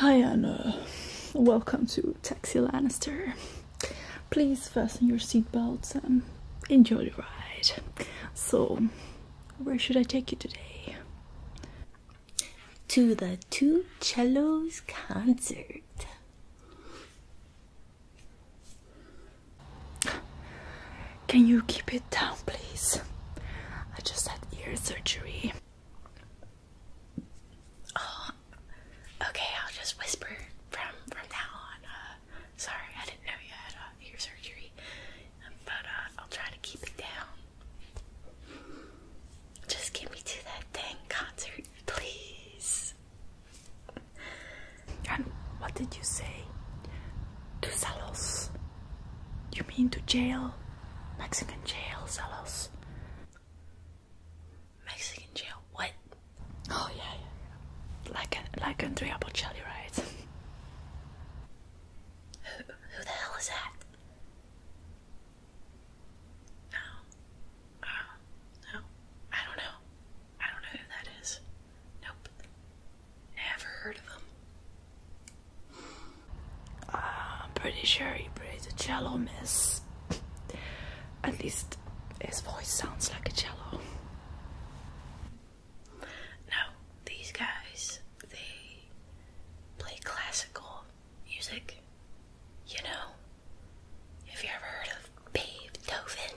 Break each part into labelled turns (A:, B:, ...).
A: Hi Anna, welcome to Taxi Lannister. Please fasten your seatbelts and enjoy the ride. So, where should I take you today? to the Two Cellos concert. Can you keep it down, please? I just had ear surgery. Oh, okay. I'll just whisper from from now on. Uh, sorry, I didn't know you had uh, ear surgery but uh, I'll try to keep it down. Just get me to that dang concert, please. And what did you say? To Salos? You mean to jail? Mexican jail, Salos. Mexican jail, what? Oh yeah, yeah. Like like Andrea Bocelli, right? who the hell is that? No. Uh, no. I don't know. I don't know who that is. Nope. Never heard of him. Ah, I'm pretty sure he plays a cello, miss. At least his voice sounds like a cello. No, these guys, they play classical music. You know, have you ever heard of Beethoven?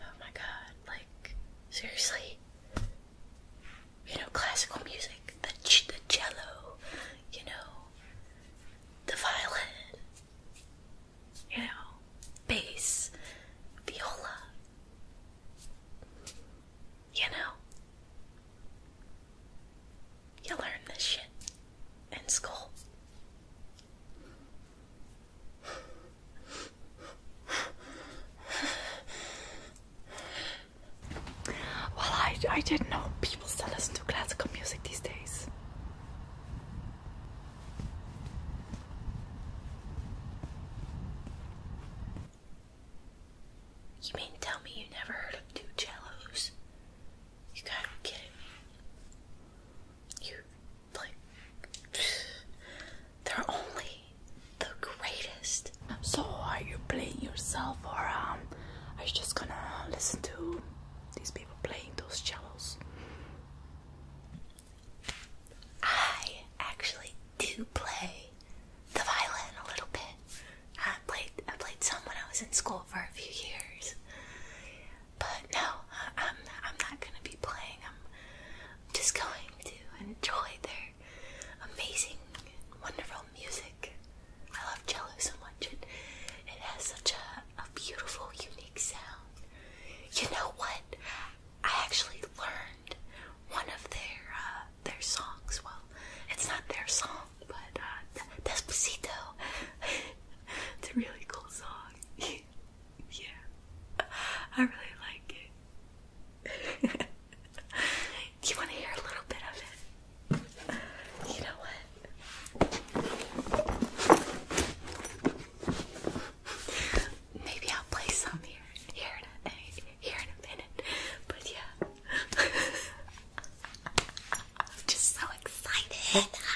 A: Oh my god, like, seriously? You know, classical music, the, the cello, you know, the violin, you know, bass, viola, you know, you learn this shit in school. Well, I, I didn't know people still listen to classical music these days. You mean tell me you never heard of two cellos? You gotta be kidding me. You, like, they're only the greatest. So, are you playing yourself or um, are you just gonna listen to these people playing those cellos? I actually do play the violin a little bit. I played I played some when I was in school for a few years, but no, I'm I'm not gonna be playing. I'm just going to enjoy their amazing, wonderful music. I love cello so much. It it has such a, a beautiful, unique sound. You know what? I actually learned one of their uh, their songs. Well, it's not their song, but uh, Despacito. it's a really cool song. yeah, I really like it. Do you want to hear a little bit of it? You know what? maybe I'll play some here here in a here in a minute. But yeah. I'm just so excited.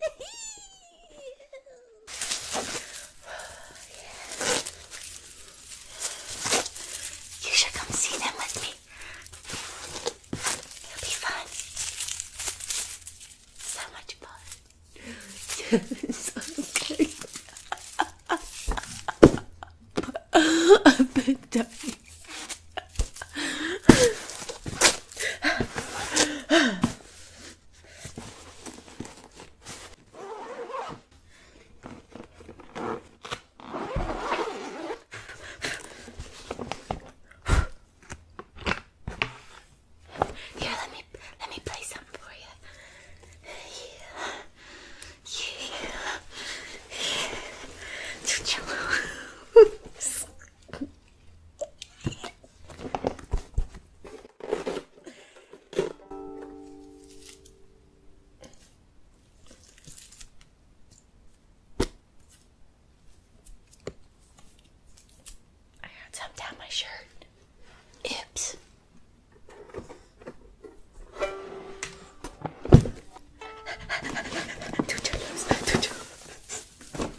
A: You should come see them with me. It'll be fun. So much fun. Yes, okay. I've been dying. Here, let me let me play some for you. Yeah. Yeah. Yeah. I got some down my shirt. Oops. Two churros, two churros.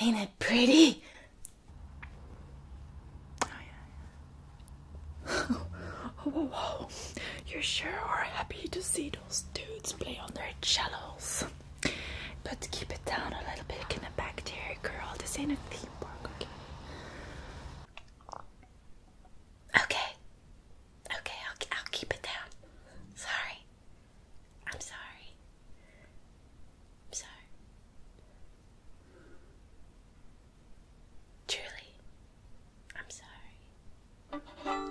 A: Ain't it pretty? Oh, yeah. yeah. oh, whoa, whoa. You sure are happy to see those dudes play on their cellos. But keep it down a little bit in the back there, girl. This ain't a theme park, okay? Okay. Okay, I'll, I'll keep it down. Sorry. I'm sorry. I'm sorry. Truly, I'm sorry.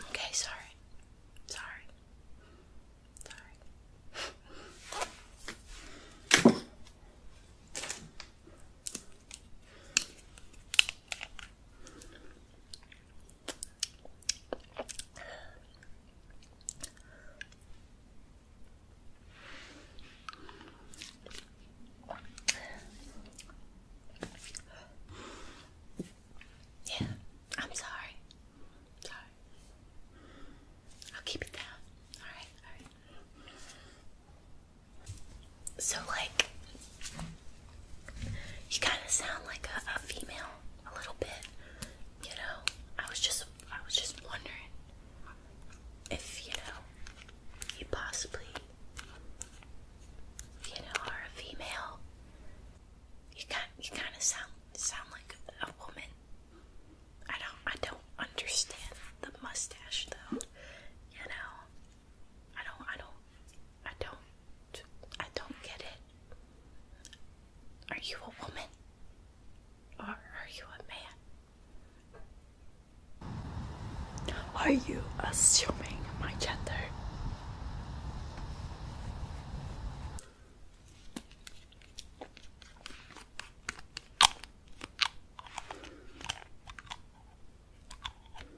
A: Okay, sorry. Sorry. Sorry. Yeah, I'm sorry. Sorry. I'll keep it down. Alright, alright. So, like, you kind of sound like a, female a little bit, you know. I was just I was just wondering if you know you possibly you know are a female. You kind you kind of sound sound like a woman. I don't I don't understand the mustache though. You know. I don't I don't I don't I don't get it. Are you a woman? Or are you a man? Are you assuming my gender?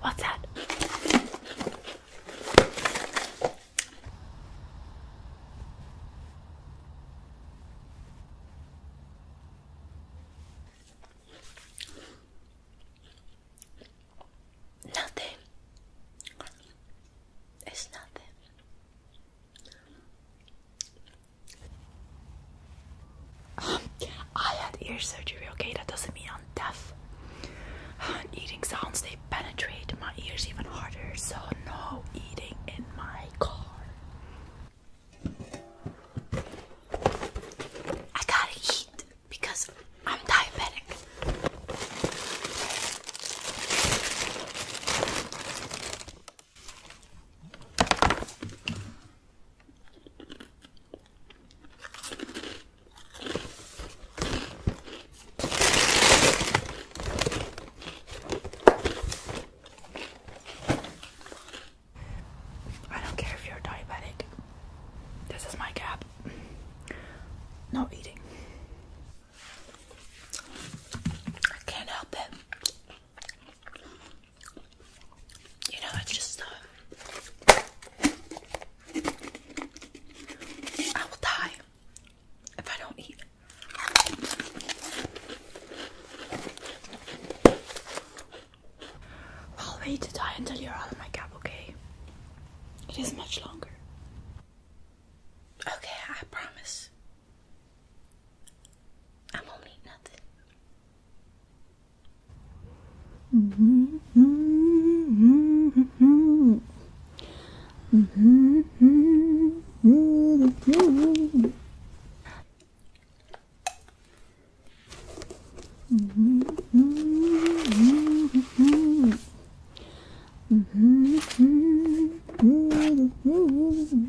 A: What's that? Nothing. It's nothing. I had ear surgery, okay? That doesn't mean I'm deaf. Eating sounds, they penetrate my ears even harder, so no eating in my car. I gotta eat because I'm diabetic. I don't care if you're diabetic. This is my gap. Not eating. I can't help it. You know, it's just, uh, I will die if I don't eat. I'll wait to die until you're out of my cab. okay? It is much longer. Okay, I promise. I won't need nothing.
B: Mhm, hmm mhm, hmm mhm, hmm mhm, hmm mhm, hmm mhm, hmm mhm, hmm mhm, hmm Mm-hmm. Mm-hmm. Mm-hmm.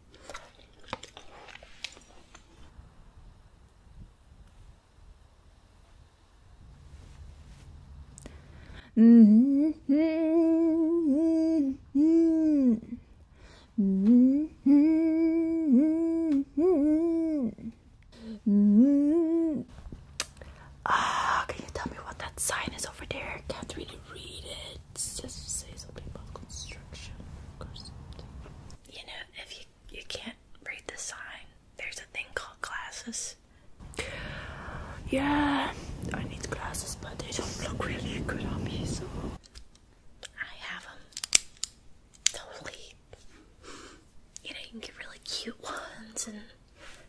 B: Mm -hmm. Mm -hmm. Mm -hmm.
A: Ah, can you tell me what that sign is over there? Can't really read it. It says, says something about construction or something you know, if you you can't read the sign, there's a thing called glasses. Yeah, I need glasses, but they don't look really good on me, so I have them. Totally. You know, can get really cute ones and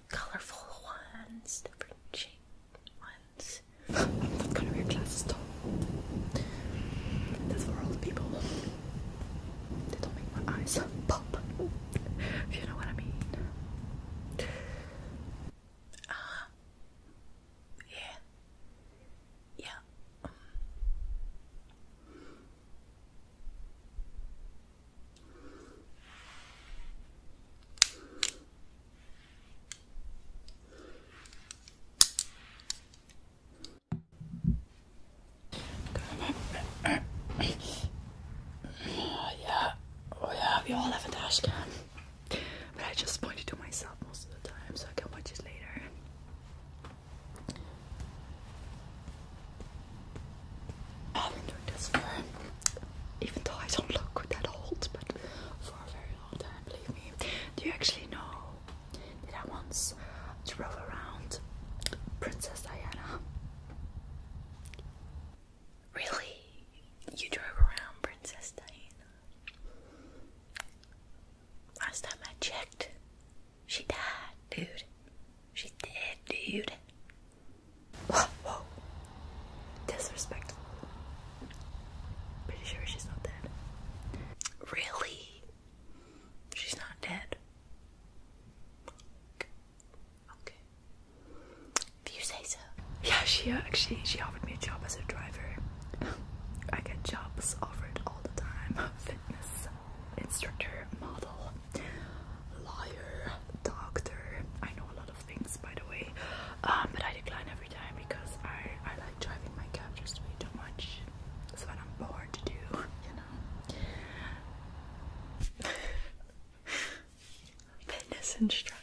A: colorful ones, different shaped ones. I'm not gonna wear glasses, don't. That's for all the people. They do make my eyes pop. If you know what I mean. Ah. yeah. Yeah. Oh, yeah, oh yeah, we all have a dash But I just point it to myself most of the time so I can watch it later. I've been doing this for, even though I don't look that old, but for a very long time, believe me. Do you actually know did I once drove around Princess Diana? Really? You drove around Princess Diana? Last time I checked, she died, dude. She's dead, dude. Whoa, whoa. Disrespectful. Pretty sure she's not dead. Really? She's not dead. Okay. okay. you say so. Yeah, she actually she offered me a job as a driver. I get jobs offered all the time. Fitness instructor, model, lawyer, doctor. I know a lot of things by the way. Um, but I decline every time because I, I like driving my cab just way too much. It's what I'm bored to do, you know. Fitness instructor.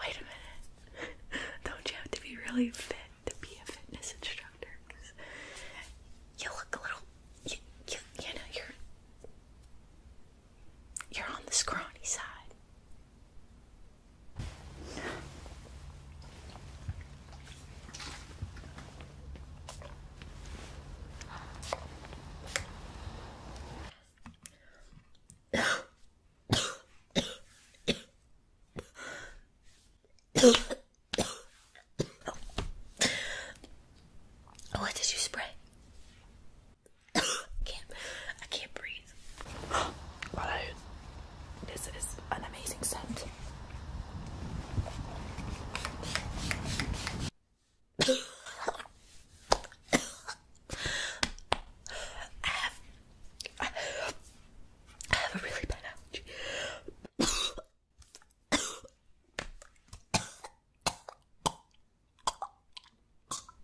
A: Wait a minute. Don't you have to be really fit to be a fitness instructor? you look a little. You, you, you know, you're. You're on the scrawny side what did you spray? I can't I can't breathe. Follow. This is an amazing scent. I have, I have a really bad allergy.